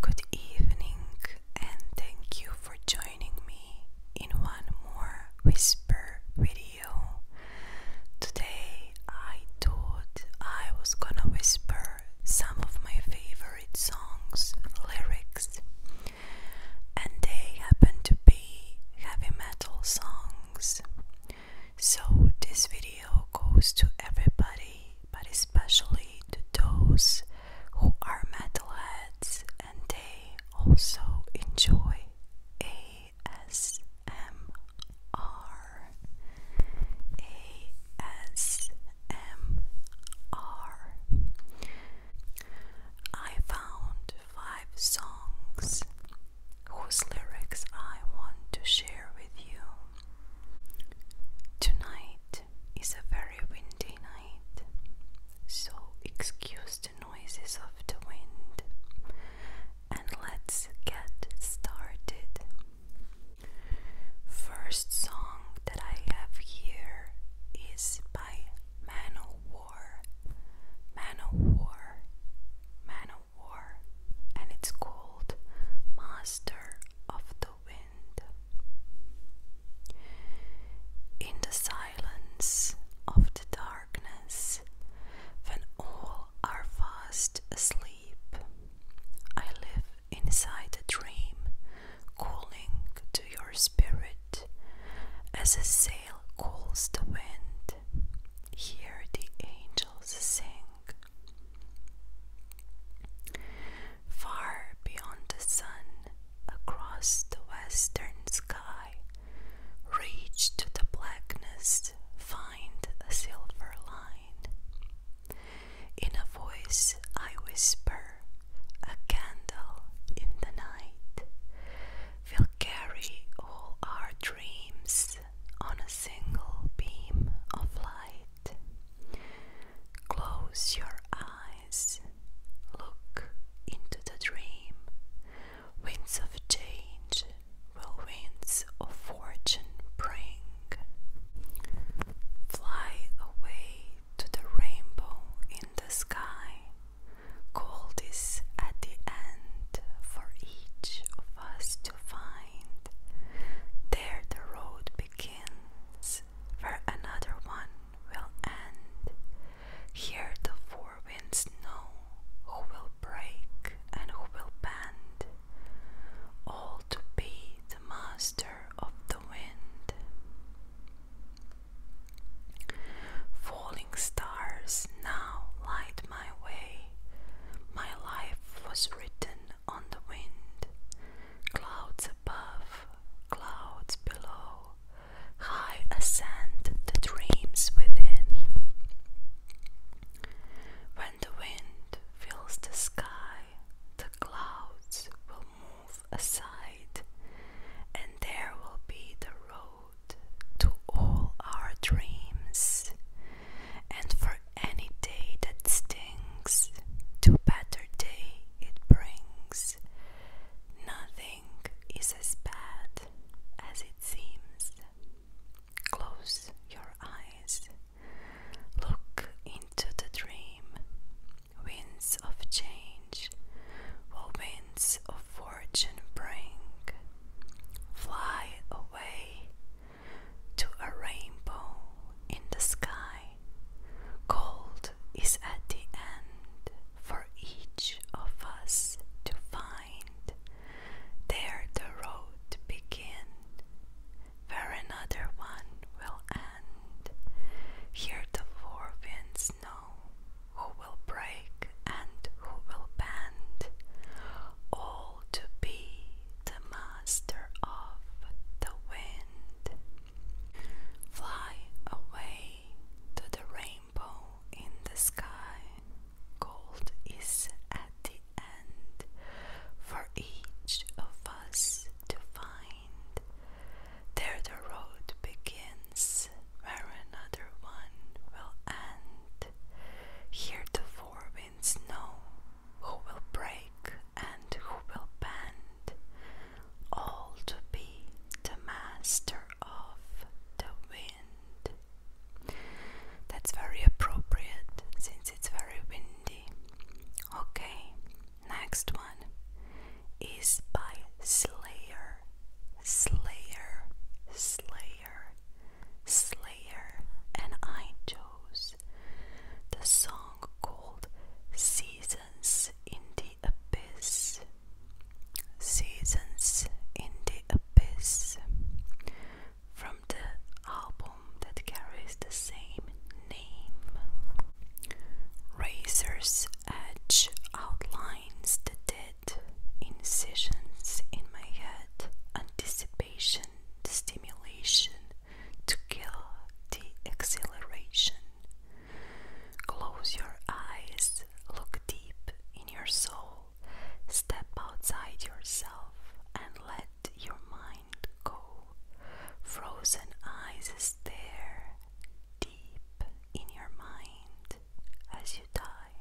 Good evening, and thank you for joining me in one more whisper video. Today, I thought I was gonna whisper some of my favorite songs, lyrics, and they happen to be heavy metal songs. So, this video goes to everybody, but especially to those who are metalheads and they also enjoy ASMR. found five songs whose lyrics I want to share with you. Tonight is a very windy night, so excuse the noises of the wind and let's get started. First song that I have here is by Man o' War and it's called Master of the Wind. In the silence of the darkness, when all are fast asleep, I live inside a dream, calling to your spirit as a sail calls the wind hear the angels sing. Far beyond the sun, across the western sky, reach to the blackness, find a silver line. In a voice I whisper, a candle in the night will carry all our dreams on a single beam of light. Close your eyes, look into the dream. Winds of change will winds of fortune bring. Fly away to the rainbow in the sky gold is at the end for each of us to find. There the road begins, where another one will end. Here the four winds know who will break and who will bend, all to be the master of the wind. Falling stars now light my way. My life was written on the wind. Clouds above, clouds below, high ascend the dreams within. When the wind fills the sky, the clouds will move aside, and there will be the road to all our dreams and for any day that stings to better day it brings nothing is as bad as it seems close your eyes look into the dream winds of change winds of fortune bring. Fly away to a rainbow in the sky. Gold is at the end for each of us to find. There the road begin, where another one will end. Here the four winds know who will break and who will bend, all to be the master of the wind. Fly away to the rainbow in the sky. Gold is at the end for each of us to find. There the road begins where another one will end. Here the four winds know who will break and who will bend, all to be the master of the wind. That's very appropriate since it's very windy. Okay, next one is by Slayer, Slayer, Slayer, Slayer, and I chose the song called Seasons in the Abyss. Seasons in the Abyss from the album that carries the same name. Razor's Edge outline the dead incisions in my head, anticipation, stimulation to kill the exhilaration. Close your eyes, look deep in your soul, step outside yourself and let your mind go. Frozen eyes stare, deep in your mind as you die.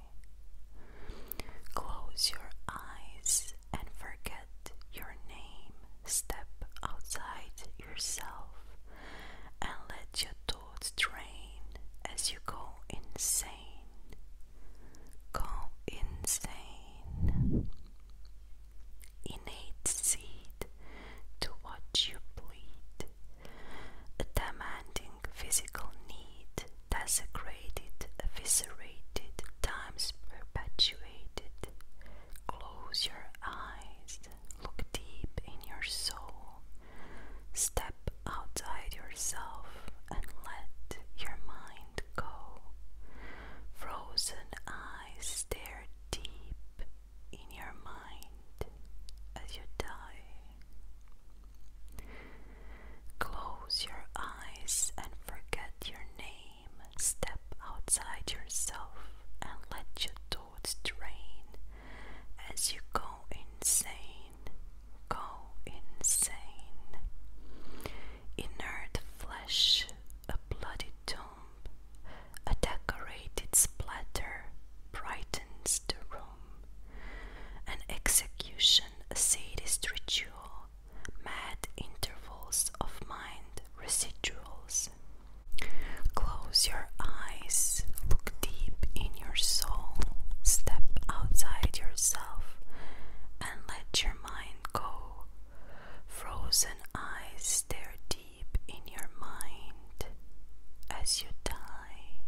Close your eyes and forget your name. Step outside yourself and let your thoughts drain as you go insane. Go insane. Innate seed to watch you bleed. A demanding physical need, desecrated, eviscerated, times perpetuated. Close your eyes, look deep in your soul, step outside yourself and let your mind go. Frozen eyes stare deep in your mind as you die. Close your eyes and forget your name. Step outside yourself and let your thoughts drain as you go insane. Go insane. Inert flesh, a bloody tomb. A decorated splatter brightens the room. An execution, a sadist ritual, mad intervals of mind residuals. Close your eyes, look deep in your soul, step outside yourself, and let your mind go. Frozen eyes stare deep keep in your mind as you die.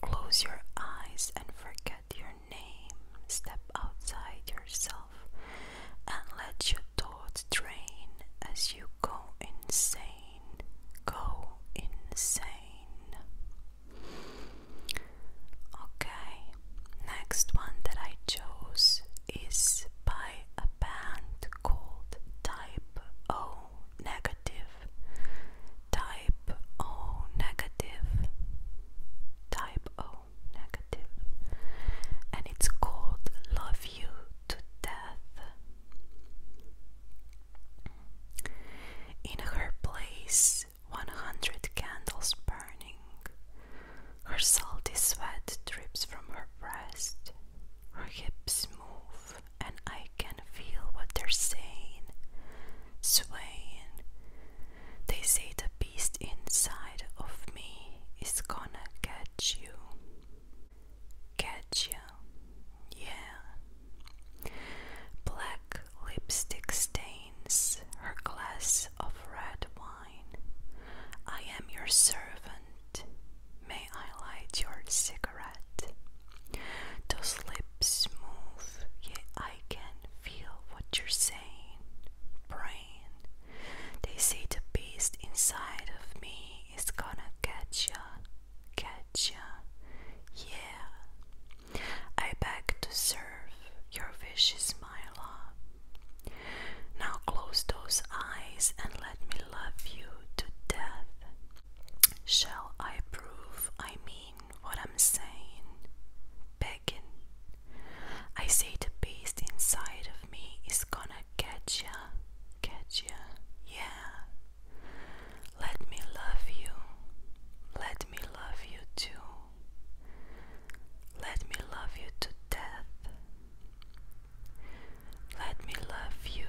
Close your eyes and forget your name. Step outside yourself and let your thoughts drain as you go insane. Go insane. Okay, next one that I chose is by by a band called Type O Negative, Type O Negative, Type O Negative, and it's called Love You to Death. In her place, 100 candles burning. Her salty sweat drips from her breast. Her hips move, and I can feel what they're saying. Swaying. They say the beast inside of me is gonna catch you. Catch you. Yeah. Black lipstick stains her glass of red wine. I am your servant. May I light your cigarette? Those lips move, yet I can feel what you're saying. Brain, they say the beast inside of me is gonna catch ya, catch ya, yeah. I beg to serve your vicious mind. Now close those eyes and let me love you to death. Shall I prove I mean what I'm saying? Begging. I say the beast inside of me is gonna get ya, get ya, yeah. Let me love you, let me love you too. Let me love you to death. Let me love you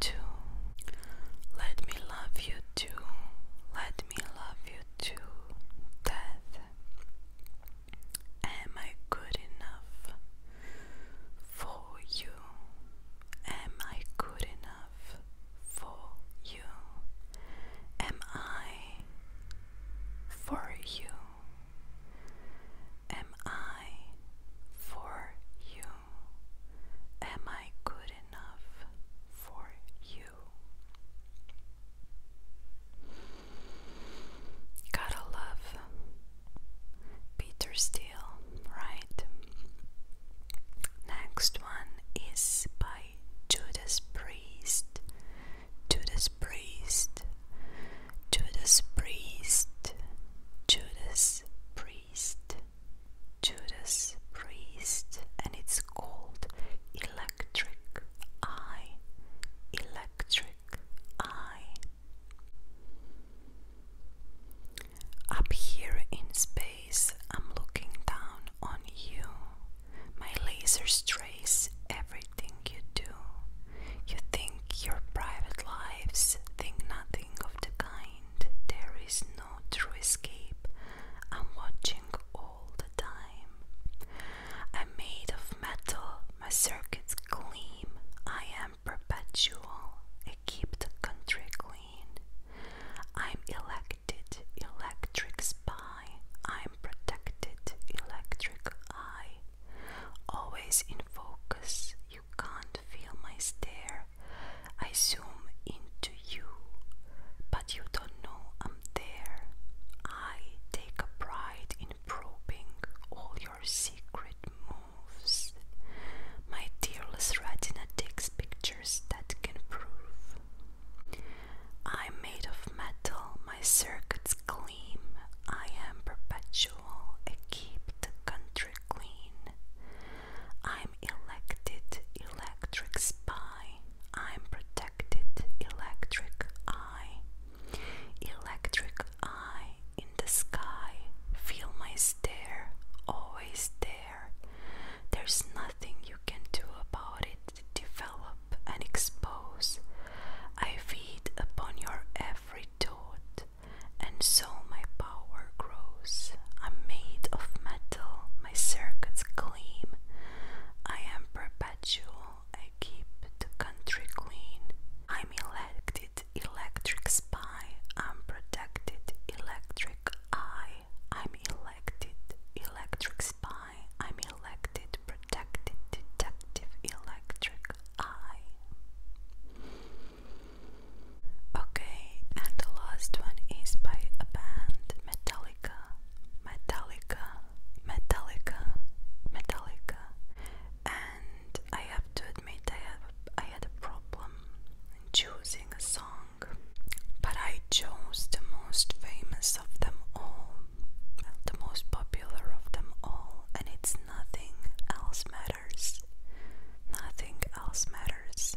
too. Let me love you too. Let me love you to death. Am I good enough for you? Am I good enough for you? Am I for you? Am I for you? Am I good enough for you? Gotta love Peter Steele, right? Next one is by Judas Priest Judas Priest, Judas Priest, Judas Priest, Judas Priest, and it's called Electric Eye, Electric Eye. Up here in space, I'm looking down on you. My laser traces everything you do. You think your private lives, think nothing of the kind. There is no true escape. I'm watching all the time. I'm made of metal, my circuits gleam. I am perpetual, I keep the country clean. I'm elected, electric spy. I'm protected, electric eye. Always in focus, you can't feel my stare. I zoom into you, but you don't know I'm there. I take a pride in probing all your secret moves. My tearless retina takes pictures that can prove. I'm made of metal, my circuits gleam. I am perpetual, I keep the country clean. I'm elected, electric spy. I'm protected, electric eye. Electric eye in the sky. Feel my stare, always there. There's nothing you can do about it, develop and expose. I feed upon your every thought, and so my power grows. I'm made of metal, my circuits gleam. I am perpetual, I keep the country clean. I'm elected, electric spy, I'm protected, electric eye. I'm elected, electric spy, I'm elected, protected, detective, electric eye. Okay, and the last one is by a band Metallica, Metallica, Metallica, Metallica. And I have to admit, I have I had a problem choosing a song, but I chose the most famous of them all, the most popular of them all, and it's nothing else matters. Nothing else matters.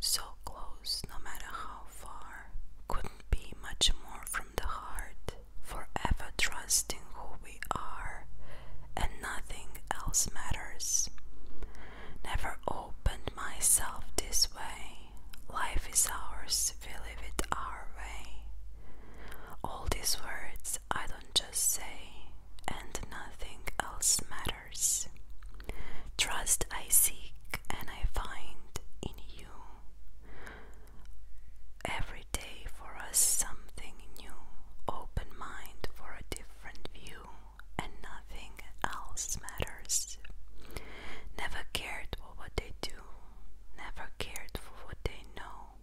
So close, no matter how far, couldn't be much more from the heart, forever trusting who we are, and nothing else matters. Never opened myself this way. Life is ours, we live it our way. All these words I don't just say, and nothing else matters. Trust I seek and I find in you. Every day for us something new, open mind for a different view and nothing else matters. Never cared for what they do, never cared for what they know,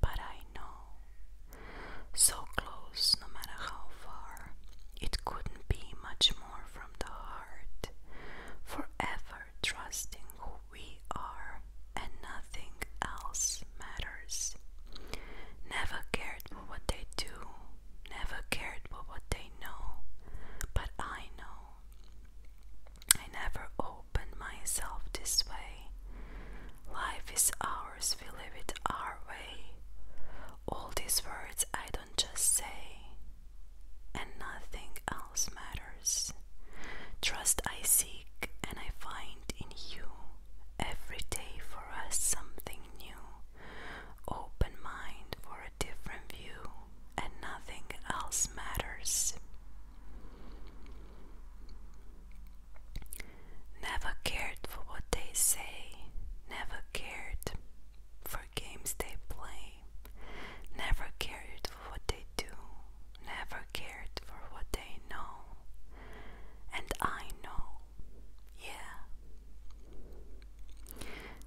but I know. So close, no matter how far, it couldn't be much more from the heart. Forever trusting who we are, and nothing else matters. Never cared for what they do, never cared for what they know, but I know. I never opened myself this way. Life is ours, we live it our way. All these words I don't just say, and nothing else matters. Trust I seek and I find in you every day for for something new, open mind for a different view, and nothing else matters. Never cared for what they say, never cared for games they play, never cared for what they do, never cared for what they know, and I know. Yeah.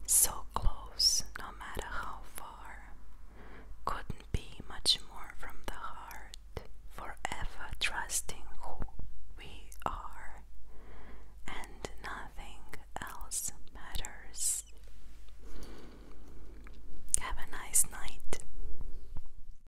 So close, no matter how far. Couldn't be much more from the heart. Forever trusting who we are. And nothing else matters. Have a nice night.